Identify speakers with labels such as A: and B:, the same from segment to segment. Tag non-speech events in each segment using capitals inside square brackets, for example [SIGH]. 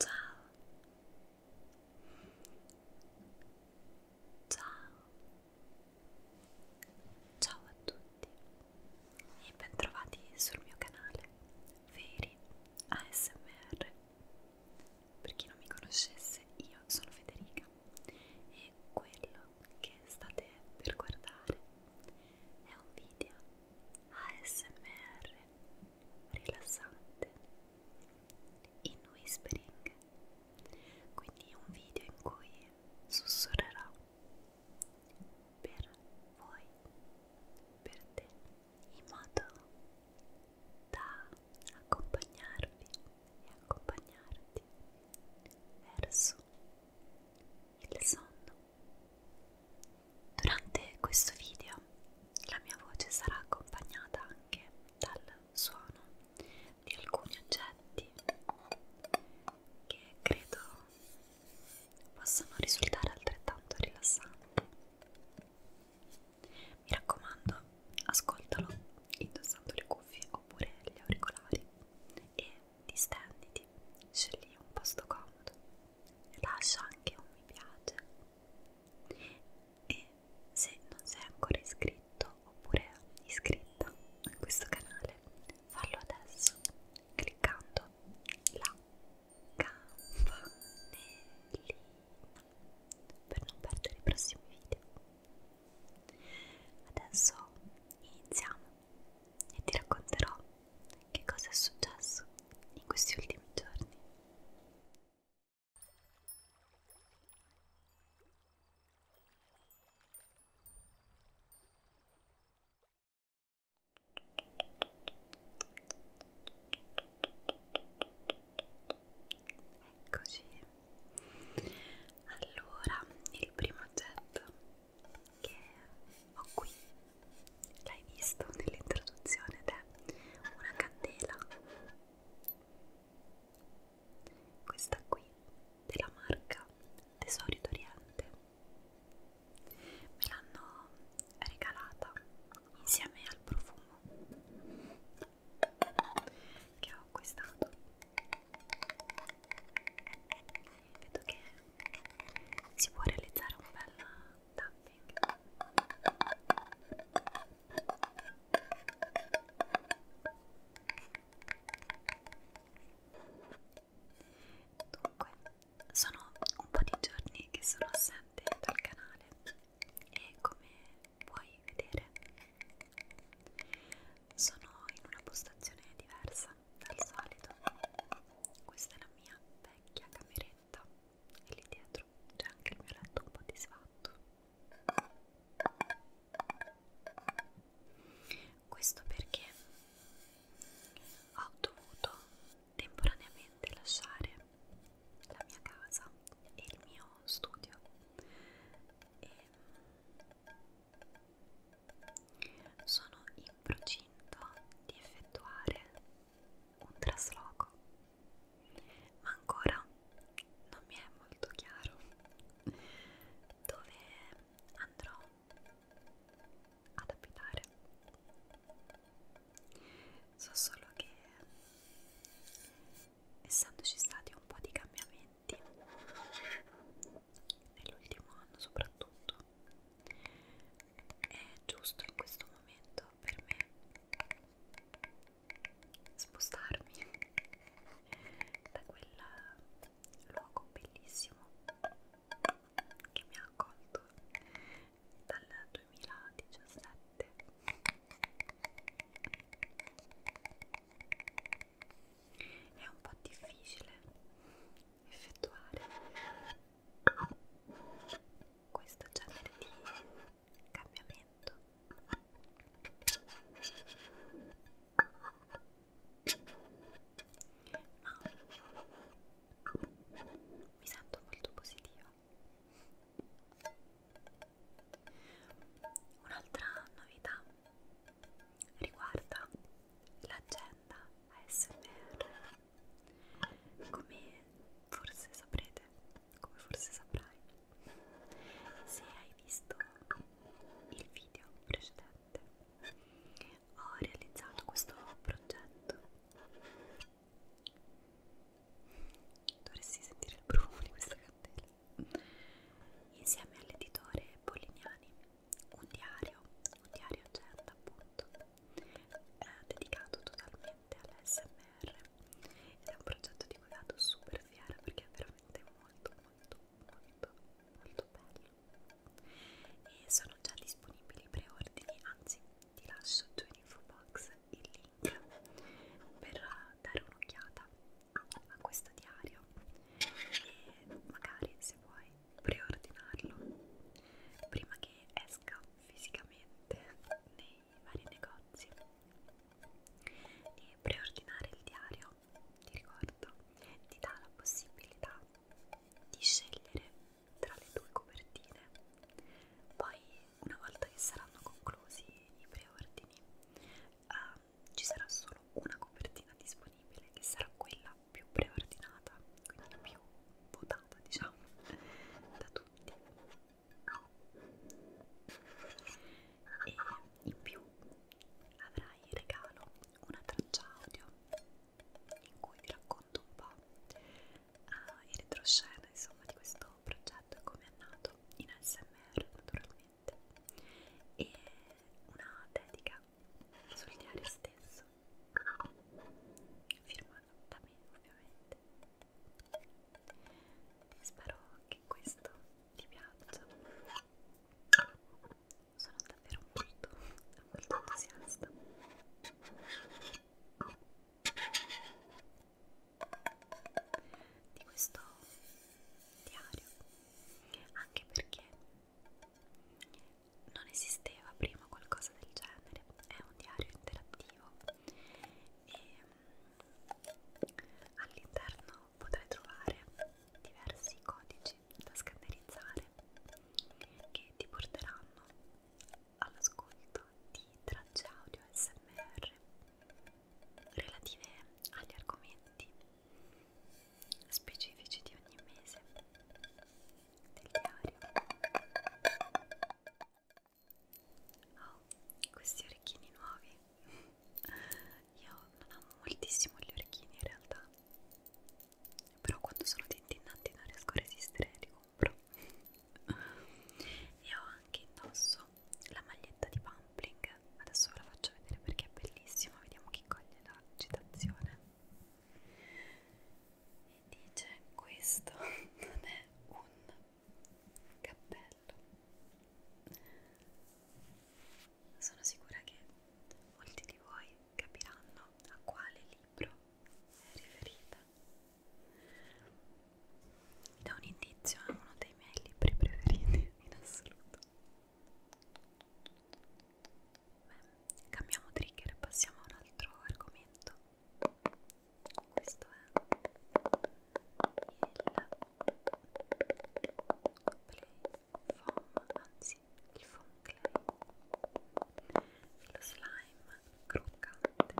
A: Ciao. Ciao. Ciao a tutti e bentrovati sul mio canale Veri ASMR. Per chi non mi conoscesse, io sono Federica e quello che state per guardare è un video ASMR rilassante in whispering, quindi un video in cui sussurrerò per voi, per te, in modo da accompagnarvi e accompagnarti verso il sonno Durante questo video la mia voce sarà accompagnata anche dal suono di alcuni oggetti che credo possano risultare altrettanto rilassanti. Mi raccomando, ascoltalo indossando le cuffie oppure gli auricolari e Distenditi, scegli un posto comodo, lascia anche un mi piace. E se non sei ancora iscritto oppure iscritta a questo canale, fallo adesso cliccando la campanellina per non perdere i prossimi video. Adesso iniziamo e ti racconterò che cosa è successo in questi ultimi giorni. Eccoci. Allora, il primo oggetto che ho qui, l'hai visto nell'introduzione ed è una candela questa qui della marca Tesori d'Oriente me l'hanno regalata insieme al profumo che ho acquistato vedo che si può realizzare un bel tapping dunque sono un po' di giorni che sono assente dal canale e come puoi vedere sono in una postazione diversa diversa dal solito questa è la mia vecchia cameretta e lì dietro c'è anche il mio letto un po' disfatto questo perché ho dovuto temporaneamente lasciare la mia casa e il mio studio e sono in procinto di effettuare un trasloco, ma ancora non mi è molto chiaro dove andrò ad abitare. So solo che essendoci stati un po' di cambiamenti nell'ultimo anno soprattutto è giusto in questo momento per me spostarmi da quel luogo bellissimo che mi ha accolto dal 2017 è un po' difficile effettuare questo genere di cambiamento ma mi sento molto positiva un'altra novità riguarda l'agenda ASMR come forse saprete come forse saprai se hai visto il video precedente ho realizzato questo progetto dovresti sentire il profumo di questa candela insieme all'editore Polignani un diario, un diario agenda certo, appunto, eh, dedicato totalmente all'SMR ed è un progetto di cui vado super fiera perché è veramente molto molto molto molto bello e sono già disponibili i preordini, anzi ti lascio giù in info box il link per dare un'occhiata a questo diario e magari se vuoi preordinarlo prima che esca fisicamente nei vari negozi e preordinare il diario ti ricordo ti dà la possibilità di scegliere tra le due copertine poi una volta che saranno conclusi i preordini uh, ci sarà solo una copertina disponibile che sarà quella più preordinata, quindi più votata diciamo da tutti e in più avrai in regalo una traccia audio in cui vi racconto un po' uh, il retroscena insomma di questo progetto e come è nato in ASMR naturalmente e una dedica sul diario stesso firmato da me ovviamente spero che questo ti piaccia sono davvero molto molto entusiasta di questo diario anche perché non esisteva prima qualcosa del genere, è un diario interattivo e mm, all'interno potrai trovare diversi codici da scannerizzare che ti porteranno all'ascolto di tracce audio SMR relative agli argomenti specifici di ogni mese del diario. Oh, questi orecchini nuovi. Io non amo moltissimo gli orecchini in realtà, però quando sono tintinnanti non riesco a resistere e li compro. e ho anche indosso la maglietta di Pumpling, adesso ve la faccio vedere perché è bellissima, vediamo chi coglie la citazione e dice questo [LAUGHS] non è un cappello sono sicura che molti di voi capiranno a quale libro è riferita da un indizio a uno dei miei libri preferiti in assoluto Beh, cambiamo trigger e passiamo a un altro argomento. Questo è il play foam, anzi il foam clay, lo slime croccante.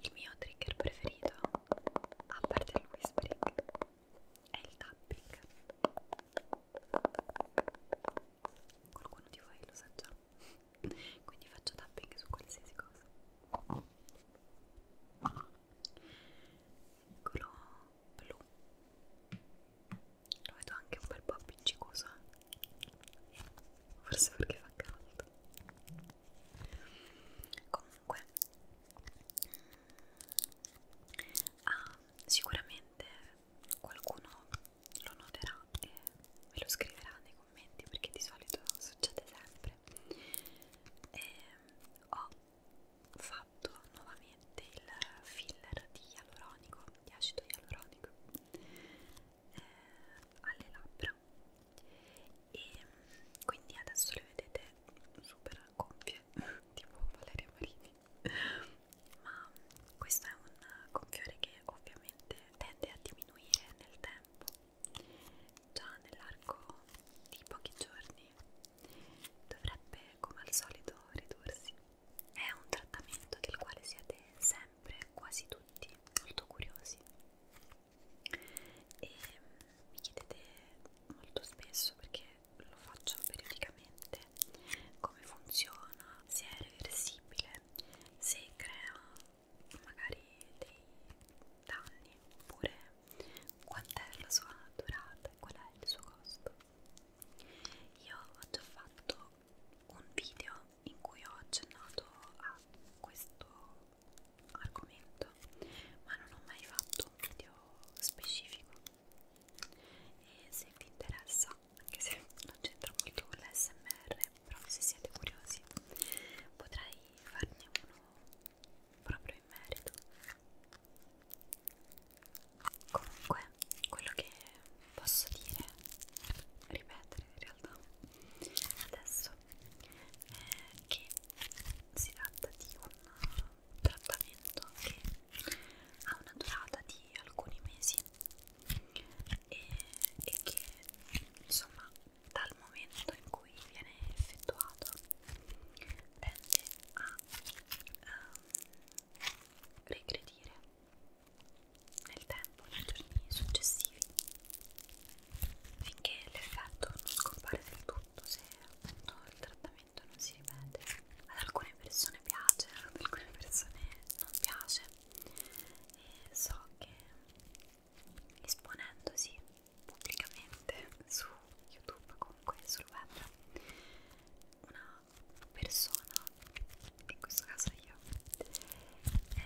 A: Il mio trigger preferito, a parte il whispering, è il tapping qualcuno di voi lo sa già [LAUGHS] quindi faccio tapping su qualsiasi cosa eccolo blu lo vedo anche un bel po' appiccicoso eh. forse perché fa caldo comunque ah, sicuramente qualcuno lo noterà e me lo scriverà nei commenti perché di solito succede sempre e ehm, ho fatto nuovamente il filler di ialuronico di acido ialuronico eh, alle labbra e ehm, quindi adesso le vedete super gonfie [LAUGHS] tipo Valeria Marini ma questo è un gonfiore che ovviamente tende a diminuire nel tempo già nell'arco di pochi giorni dovrebbe come al solito ridursi è un trattamento del quale siete sempre quasi tutti molto curiosi e mi chiedete molto spesso perché lo faccio periodicamente come funziona, se è reversibile, se crea magari dei danni oppure quant'è la sua durata e qual è il suo costo. Io ho già fatto un video in cui ho accennato a questo argomento ma non ho mai fatto un video specifico e se vi interessa anche se non c'entra molto con l'SMR però se siete curiosi potrei farne uno proprio in merito comunque quello che posso dire ripetere in realtà adesso è che si tratta di un trattamento che ha una durata di alcuni mesi e, e che insomma dal momento in cui viene effettuato tende a um, regredire nel tempo, nei giorni successivi finché l'effetto non scompare del tutto tutto se appunto il trattamento non si ripete ad alcune persone piace ad alcune persone non piace e so che esponendosi pubblicamente su youtube comunque sul web una persona in questo caso io è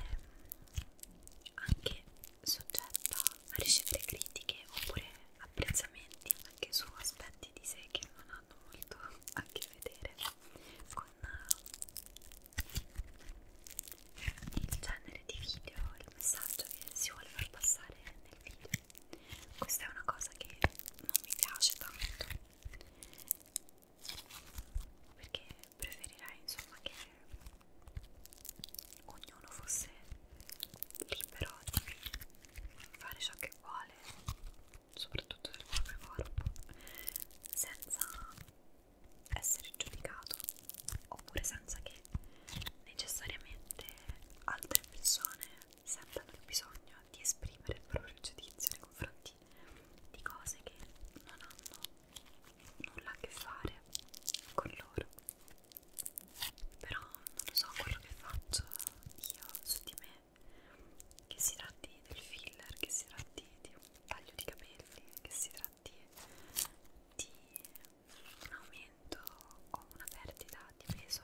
A: anche soggetta a ricevere critiche oppure apprezzamenti anche su aspetti di sé che non hanno molto a che vedere con eh, il genere di video, il messaggio che si vuole far passare nel video. Questa è una cosa che non mi piace tanto perché preferirei insomma che ognuno ognuno fosse libero di fare ciò che vuole, soprattutto del proprio corpo, senza essere giudicato oppure senza che necessariamente altre persone sentano il bisogno di esprimere il proprio giudizio nei confronti di cose che non hanno nulla a che fare con loro però non lo so quello che faccio io su di me che si tratti del filler che si tratti di un taglio di capelli che si tratti di un aumento o una perdita di peso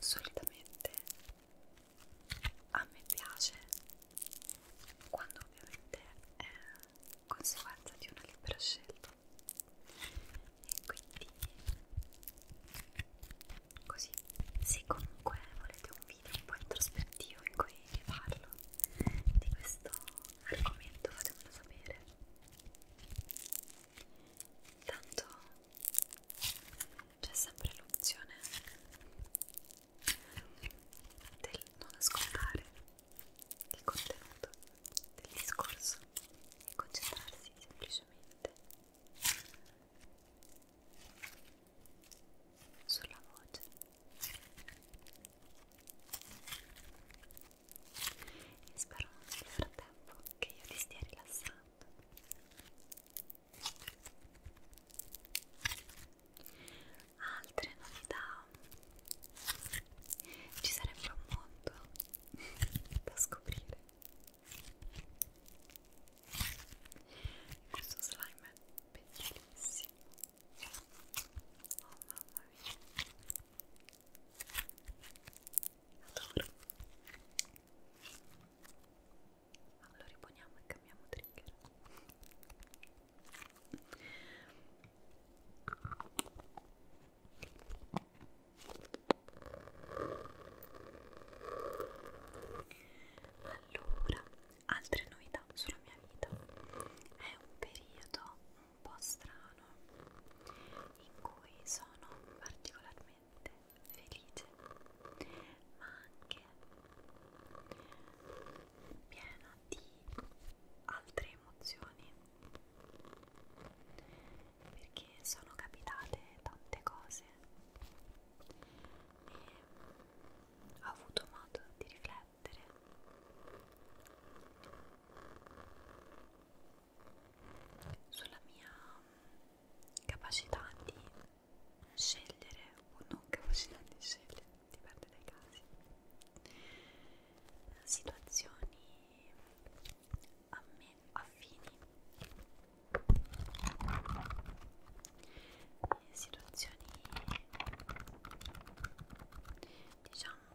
A: solitamente a me piace quando ovviamente è conseguenza di una libera scelta e quindi così se comunque volete un video un po' introspettivo in cui vi parlo di questo argomento fatemelo sapere tanto c'è sempre l'opzione del non ascoltare il contenuto del discorso e concentrarsi semplicemente sulla voce e spero nel frattempo che io ti stia rilassando altre novità ci sarebbe un mondo da scoprire questo slime è bellissimo oh mamma mia adoro allora riponiamo e cambiamo trigger allora, altre novità sulla mia vita. È un periodo un po' strano in cui sono particolarmente felice, ma anche piena di altre emozioni perché sono capitate tante cose e ho avuto modo di riflettere sulla mia capacità di scegliere o non capacità di scegliere dipende dai casi situazioni a me affini situazioni diciamo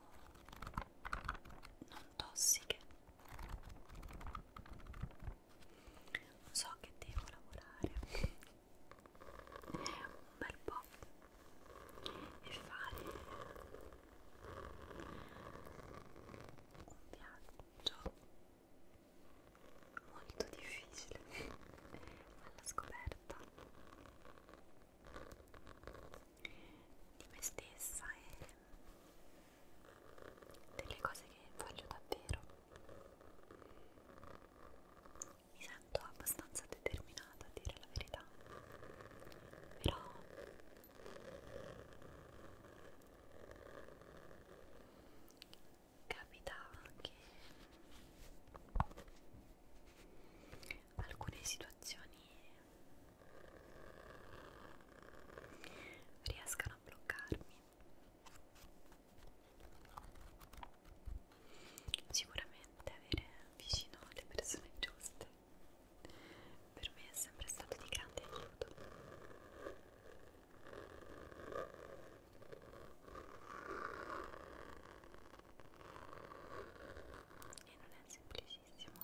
A: non tossiche so che devo lavorare un bel po' e fare un viaggio molto difficile alla scoperta di me stessa e delle cose che voglio davvero mi sento abbastanza determinata ostinata a dire la verità però capitava che alcune situazioni riescano a bloccarmi sicuramente avere vicino le persone giuste per me è sempre stato di grande aiuto. E non è semplicissimo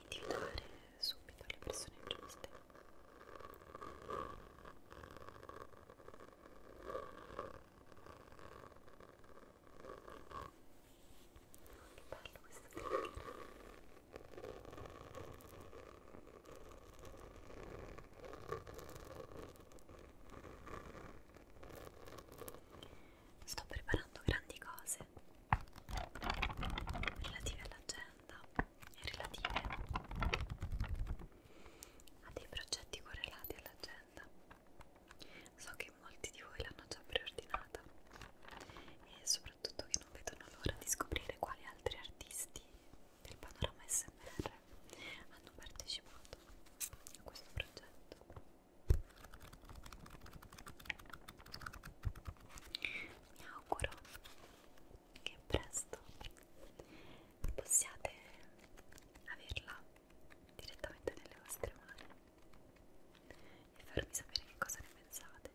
A: individuare subito le persone giuste che bello questo click sto preparando grandi cose relative all'agenda e relative a dei progetti correlati all'agenda domanda so che molti di voi l'hanno già preordinata e soprattutto che non vedono l'ora di scoprire quali altri artisti del panorama SMR hanno partecipato a questo progetto mi auguro che presto possiate averla direttamente nelle vostre mani e farmi sapere che cosa ne pensate.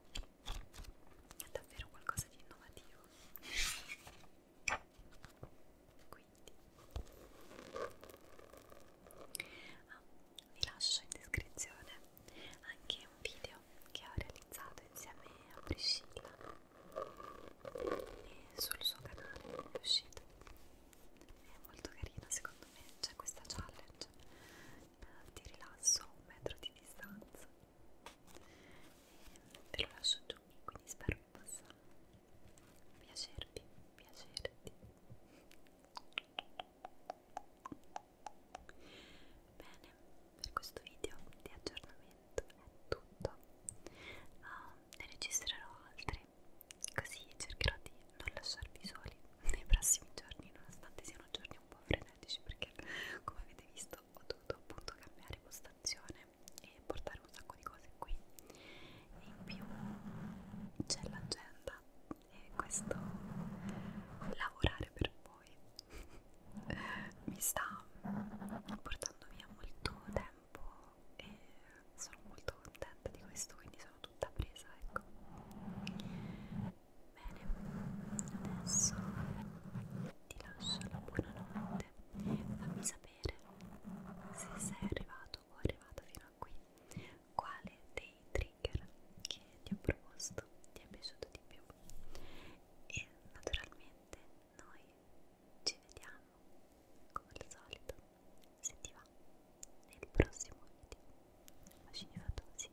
A: È davvero qualcosa di innovativo. Quindi ah, vi lascio in descrizione anche un video che ho realizzato insieme a Priscilla e sul suo canale è uscita è molto carina secondo me c'è questa challenge eh, di rilasso a un metro di distanza e ve lo lascio giù quindi spero che possa piacervi piacerti bene per questo video di aggiornamento è tutto uh, ne registrerò altri fare così cercherò di non lasciarvi soli nei prossimi giorni nonostante siano giorni un po' frenetici perché come avete visto ho dovuto appunto cambiare postazione e portare un sacco di cose qui e in più c'è l'agenda e questo lavorare per voi [LAUGHS] mi sta portando via molto tempo tempo e sono molto contenta di questo, quindi sono tutta presa, ecco. Bene, adesso ti lascio la buonanotte, fammi sapere se sei arrivato o arrivata fino a qui, quale dei trigger che ti ho proposto ti è piaciuto di più e naturalmente noi ci vediamo come al solito se ti va nel prossimo video bacini fatosi